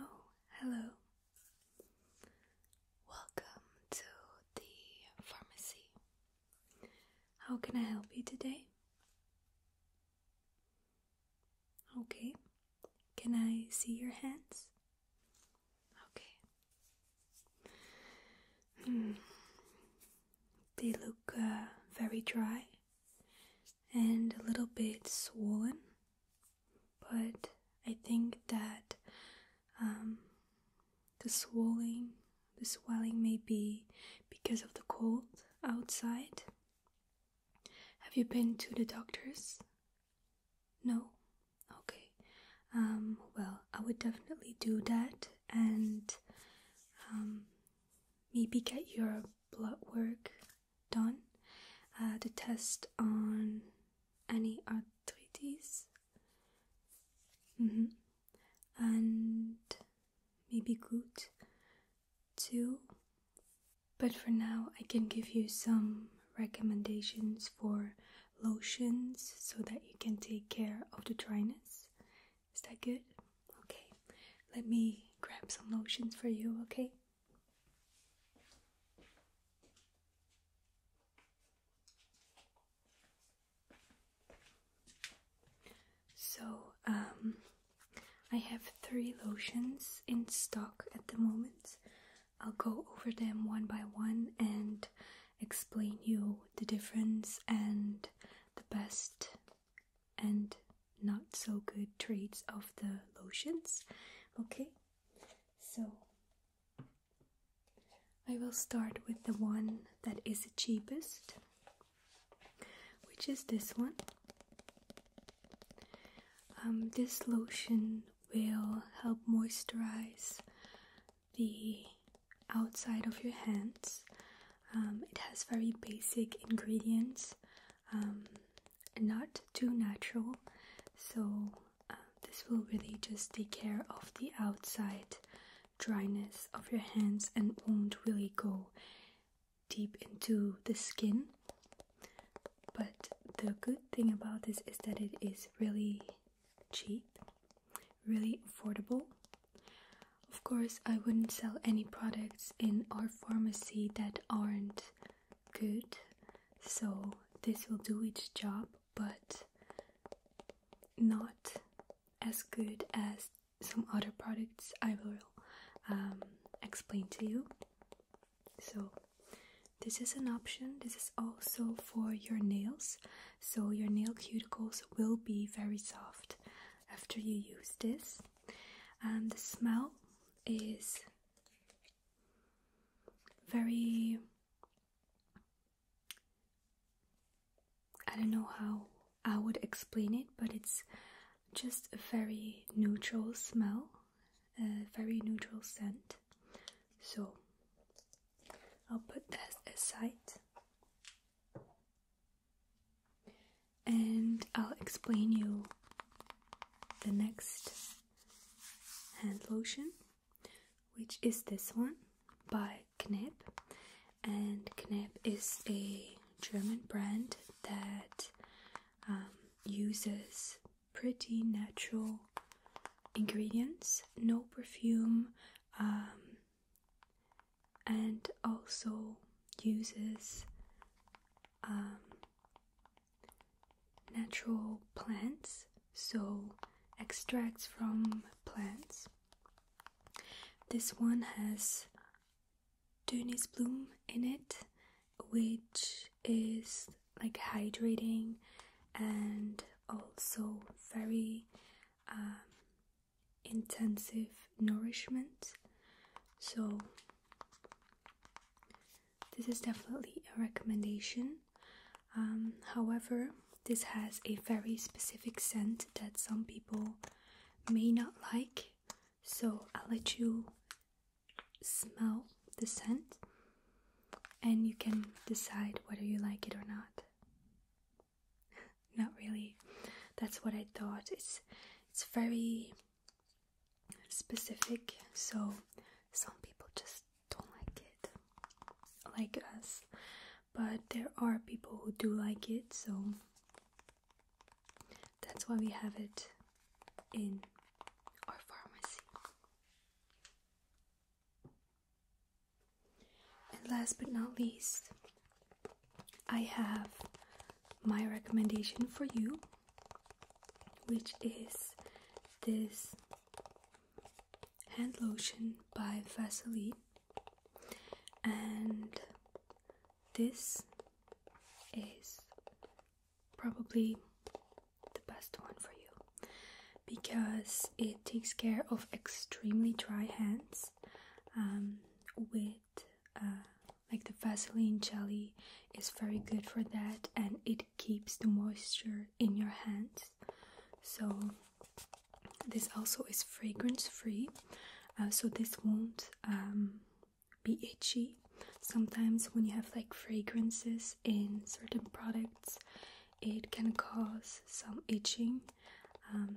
Oh, hello. Welcome to the pharmacy. How can I help you today? Okay. Can I see your hands? Okay. Mm. They look uh, very dry and a little bit swollen, but I think that um, the swelling, the swelling may be because of the cold outside. Have you been to the doctors? No. Okay. Um, well, I would definitely do that, and um, maybe get your blood work done uh, to test on any arthritis. Mm-hmm. And maybe good too. But for now, I can give you some recommendations for lotions so that you can take care of the dryness is that good? Okay. Let me grab some lotions for you, okay? So, um, I have three lotions in stock at the moment. I'll go over them one by one and explain you the difference and the best and not so good traits of the lotions. Okay, so I will start with the one that is the cheapest, which is this one. Um, this lotion will help moisturize the outside of your hands. Um, it has very basic ingredients, um, not too natural, so uh, this will really just take care of the outside dryness of your hands and won't really go deep into the skin. But the good thing about this is that it is really cheap, really affordable. Of course, I wouldn't sell any products in our pharmacy that aren't good, so this will do its job, but not as good as some other products I will um, explain to you. So, this is an option. This is also for your nails so your nail cuticles will be very soft after you use this. And the smell is very I don't know how I would explain it, but it's just a very neutral smell, a very neutral scent. So I'll put that aside and I'll explain you the next hand lotion which is this one by Knip and Knip is a German brand that um, uses pretty natural ingredients, no perfume, um, and also uses um, natural plants, so extracts from plants. This one has Dönis bloom in it, which is like hydrating and also very um, intensive nourishment. So, this is definitely a recommendation. Um, however, this has a very specific scent that some people may not like, so I'll let you smell the scent and you can decide whether you like it or not. Not really. That's what I thought. It's it's very specific, so some people just don't like it, like us. But there are people who do like it, so that's why we have it in our pharmacy. And last but not least, I have my recommendation for you, which is this hand lotion by Vaseline. And this is probably the best one for you because it takes care of extremely dry hands um, with uh, like the Vaseline jelly is very good for that and it keeps the moisture in your hands so this also is fragrance free uh, so this won't um, be itchy sometimes when you have like fragrances in certain products it can cause some itching um,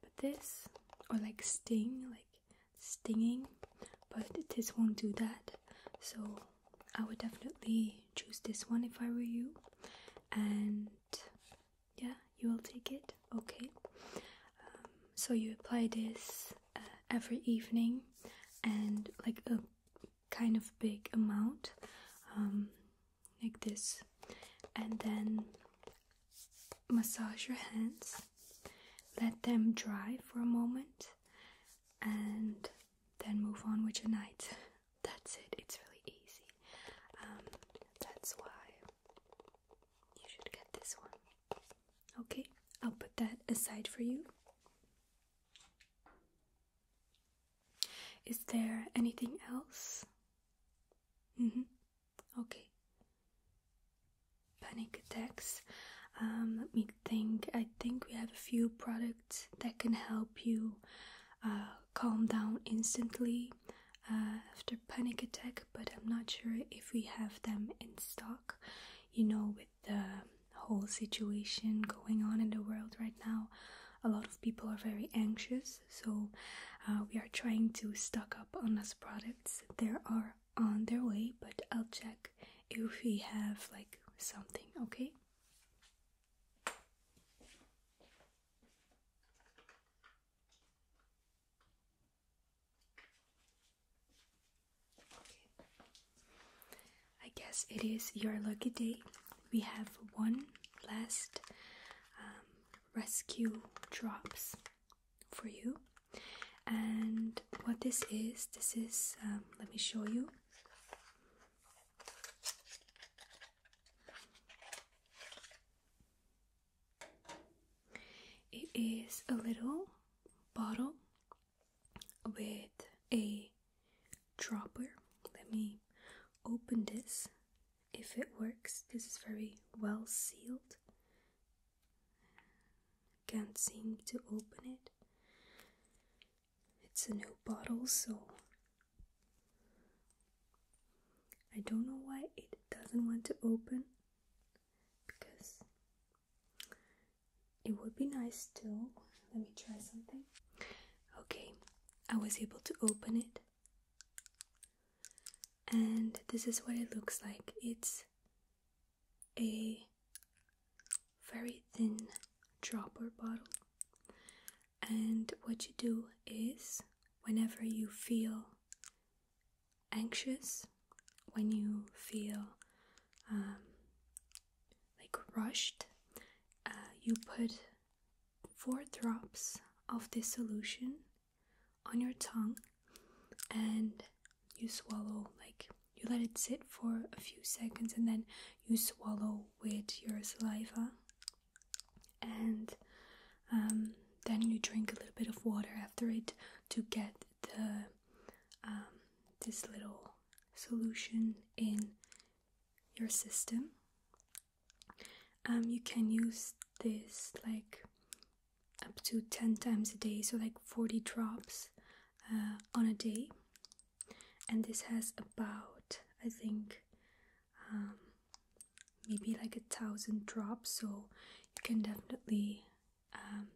but this or like sting like stinging but this won't do that so I would definitely choose this one if I were you and yeah you will take it okay um, so you apply this uh, every evening and like a kind of big amount um, like this and then massage your hands let them dry for a moment and then move on with your night that's it it's really easy um, that's why you should get this one okay i'll put that aside for you is there anything else? -hmm. Okay. Panic attacks. Um, let me think. I think we have a few products that can help you uh, calm down instantly uh, after panic attack, but I'm not sure if we have them in stock. You know, with the whole situation going on in the world right now. A lot of people are very anxious, so uh, we are trying to stock up on us products. They are on their way, but I'll check if we have like something, Okay. I guess it is your lucky day. We have one last um, rescue drops for you. And what this is, this is, um, let me show you. It is a little bottle with a dropper. Let me open this. If it works, this is very well sealed. Can't seem to open it. It's a new bottle, so I don't know why it doesn't want to open because it would be nice too. Let me try something. Okay, I was able to open it. And this is what it looks like. It's a very thin dropper bottle. And what you do is whenever you feel anxious, when you feel um, like rushed, uh, you put four drops of this solution on your tongue and you swallow like you let it sit for a few seconds and then you swallow with your saliva and um, then you drink a little bit of water after it to get the um, this little solution in your system. Um, you can use this like up to 10 times a day, so like 40 drops uh, on a day. And this has about, I think, um, maybe like a thousand drops, so you can definitely um,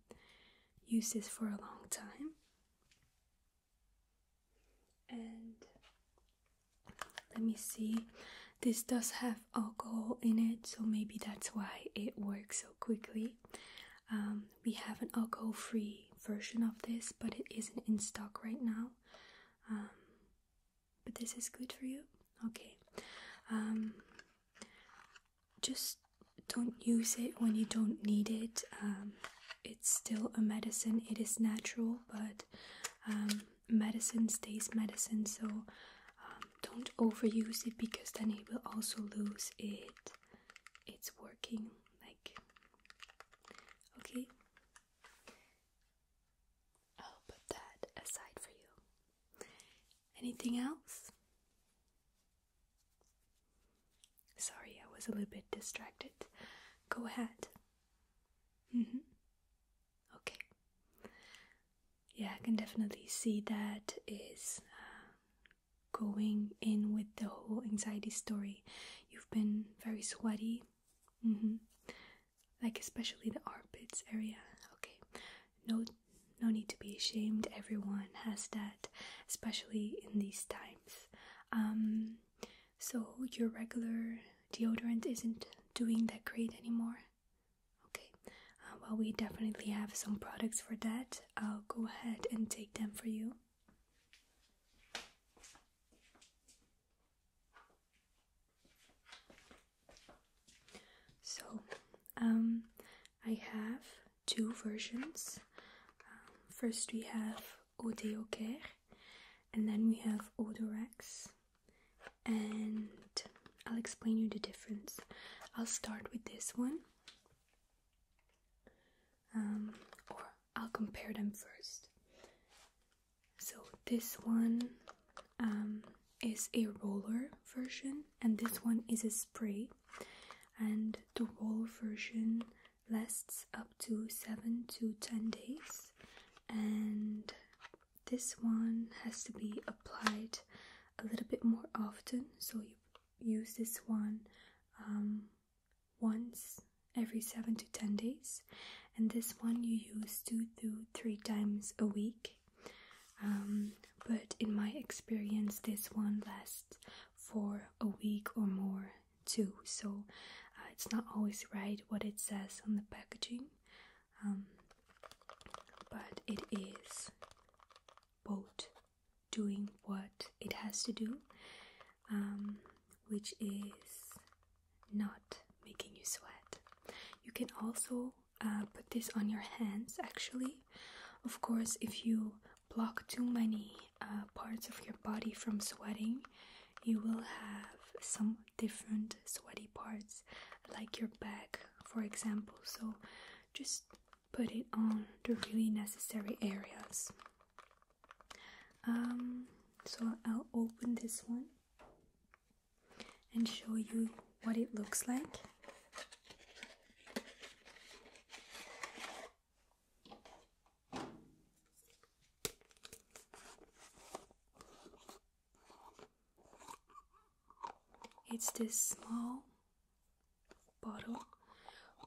Use this for a long time. And let me see, this does have alcohol in it, so maybe that's why it works so quickly. Um, we have an alcohol free version of this, but it isn't in stock right now. Um, but this is good for you? Okay just don't use it when you don't need it. Um, it's still a medicine, it is natural, but um, medicine stays medicine, so um, don't overuse it because then it will also lose it. It's working like okay. I'll put that aside for you. Anything else? Sorry, I was a little bit distracted. Go ahead. Mm -hmm. Okay. Yeah, I can definitely see that is uh, going in with the whole anxiety story. You've been very sweaty. Mm -hmm. Like, especially the armpits area. Okay. No no need to be ashamed, everyone has that, especially in these times. Um, so, your regular deodorant isn't doing that great anymore? Okay, uh, well, we definitely have some products for that. I'll go ahead and take them for you. So, um, I have two versions. Um, first, we have Eau Deoker, and then we have Odorex, and I'll explain you the difference. I'll start with this one, um, or I'll compare them first. So, this one um, is a roller version, and this one is a spray and the raw version lasts up to 7 to 10 days and this one has to be applied a little bit more often so you use this one um, once every 7 to 10 days and this one you use 2 to 3 times a week um, but in my experience, this one lasts for a week or more too, so uh, it's not always right what it says on the packaging, um, but it is both doing what it has to do, um, which is not making you sweat. You can also uh, put this on your hands actually. Of course, if you block too many uh, parts of your body from sweating, you will have some different sweaty parts, like your back, for example. So just put it on the really necessary areas. Um, so I'll open this one and show you what it looks like. It's this small bottle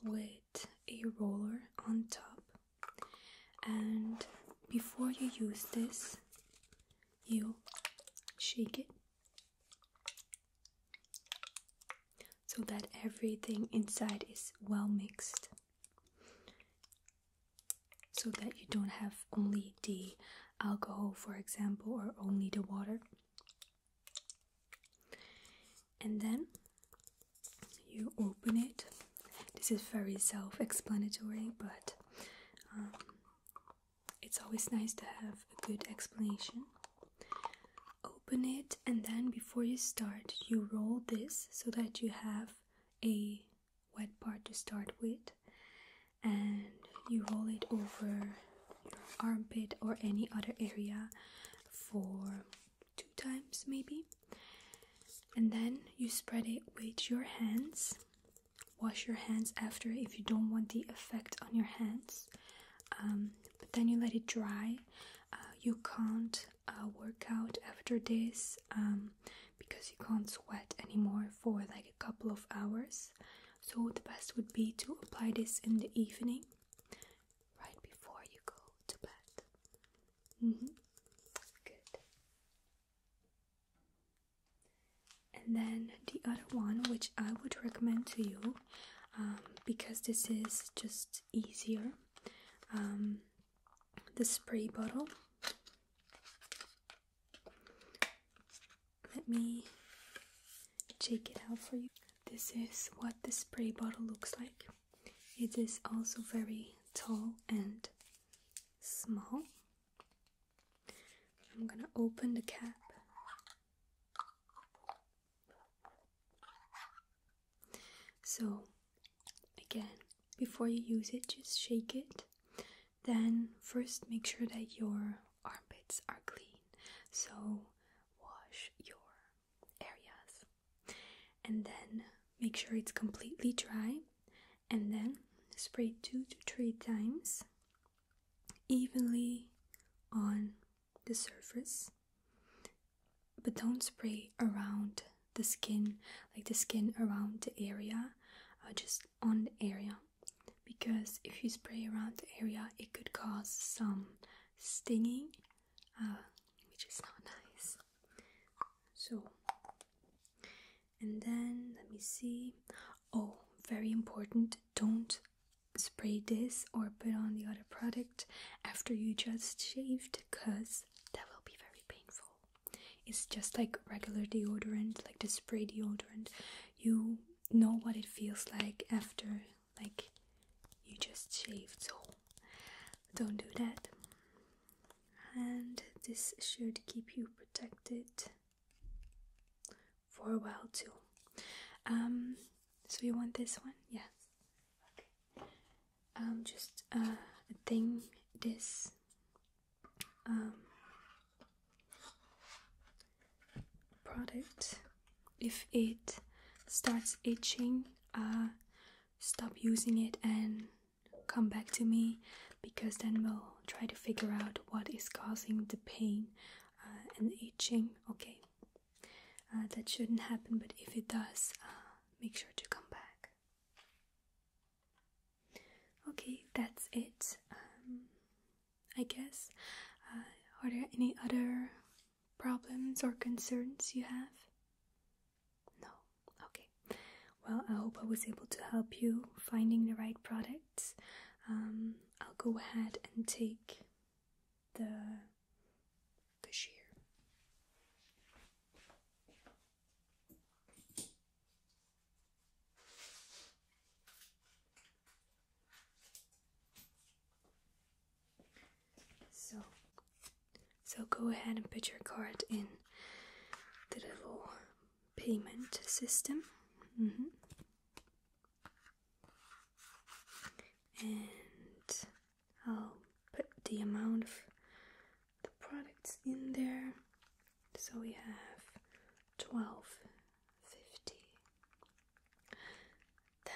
with a roller on top and before you use this you shake it so that everything inside is well mixed so that you don't have only the alcohol for example or only the water and then you open it this is very self-explanatory but um, it's always nice to have a good explanation. Open it, and then before you start, you roll this so that you have a wet part to start with, and you roll it over your armpit or any other area for two times, maybe. And then you spread it with your hands wash your hands after if you don't want the effect on your hands. Um, but then you let it dry. Uh, you can't uh, work out after this um, because you can't sweat anymore for like a couple of hours. So the best would be to apply this in the evening, right before you go to bed. Mm-hmm. Good and then the other one which i would recommend to you um, because this is just easier um, the spray bottle let me check it out for you this is what the spray bottle looks like it is also very tall and small I'm gonna open the cap. So, again, before you use it, just shake it. Then, first, make sure that your armpits are clean. So, wash your areas. And then, make sure it's completely dry. And then, spray two to three times evenly on the surface, but don't spray around the skin, like the skin around the area, uh, just on the area. Because if you spray around the area, it could cause some stinging, uh, which is not nice. So, and then let me see oh very important don't spray this or put on the other product after you just shaved because that will be very painful it's just like regular deodorant like the spray deodorant you know what it feels like after like you just shaved so don't do that and this should keep you protected for a while too. Um, so you want this one? Yes. Okay. Um, just uh, a thing. This. Um, product. If it starts itching, uh, stop using it and come back to me because then we'll try to figure out what is causing the pain uh, and itching. Okay, uh, that shouldn't happen, but if it does, uh, make sure to come back. Okay, that's it. Um, I guess. are there any other problems or concerns you have? No. Okay well, I hope I was able to help you finding the right products. Um, I'll go ahead and take the cashier. So, so go ahead and put your card in the little payment system. Mm-hmm. And I'll put the amount of the products in there. So we have 12.50. Then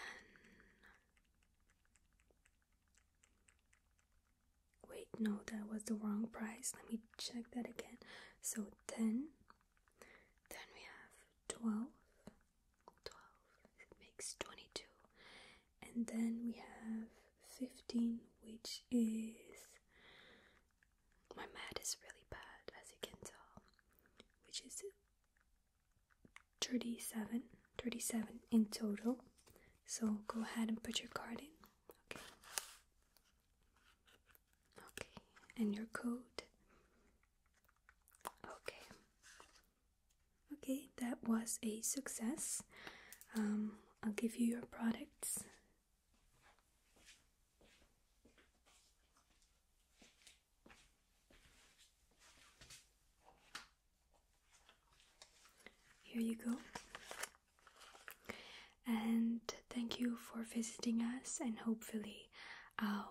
Wait, no, that was the wrong price. Let me check that again. So 10, then we have 12, it makes 22, and then we have 15, which is my math is really bad as you can tell, which is 37, 37 in total. So go ahead and put your card in. Okay. Okay, and your code. Okay. Okay, that was a success. Um, I'll give you your products. Here you go. And thank you for visiting us, and hopefully, I um,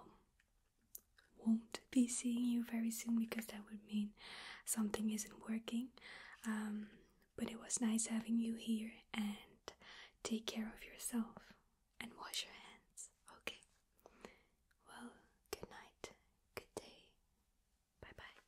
won't be seeing you very soon because that would mean something isn't working. Um, but it was nice having you here, and take care of yourself and wash your hands, okay? Well, good night, good day, bye bye.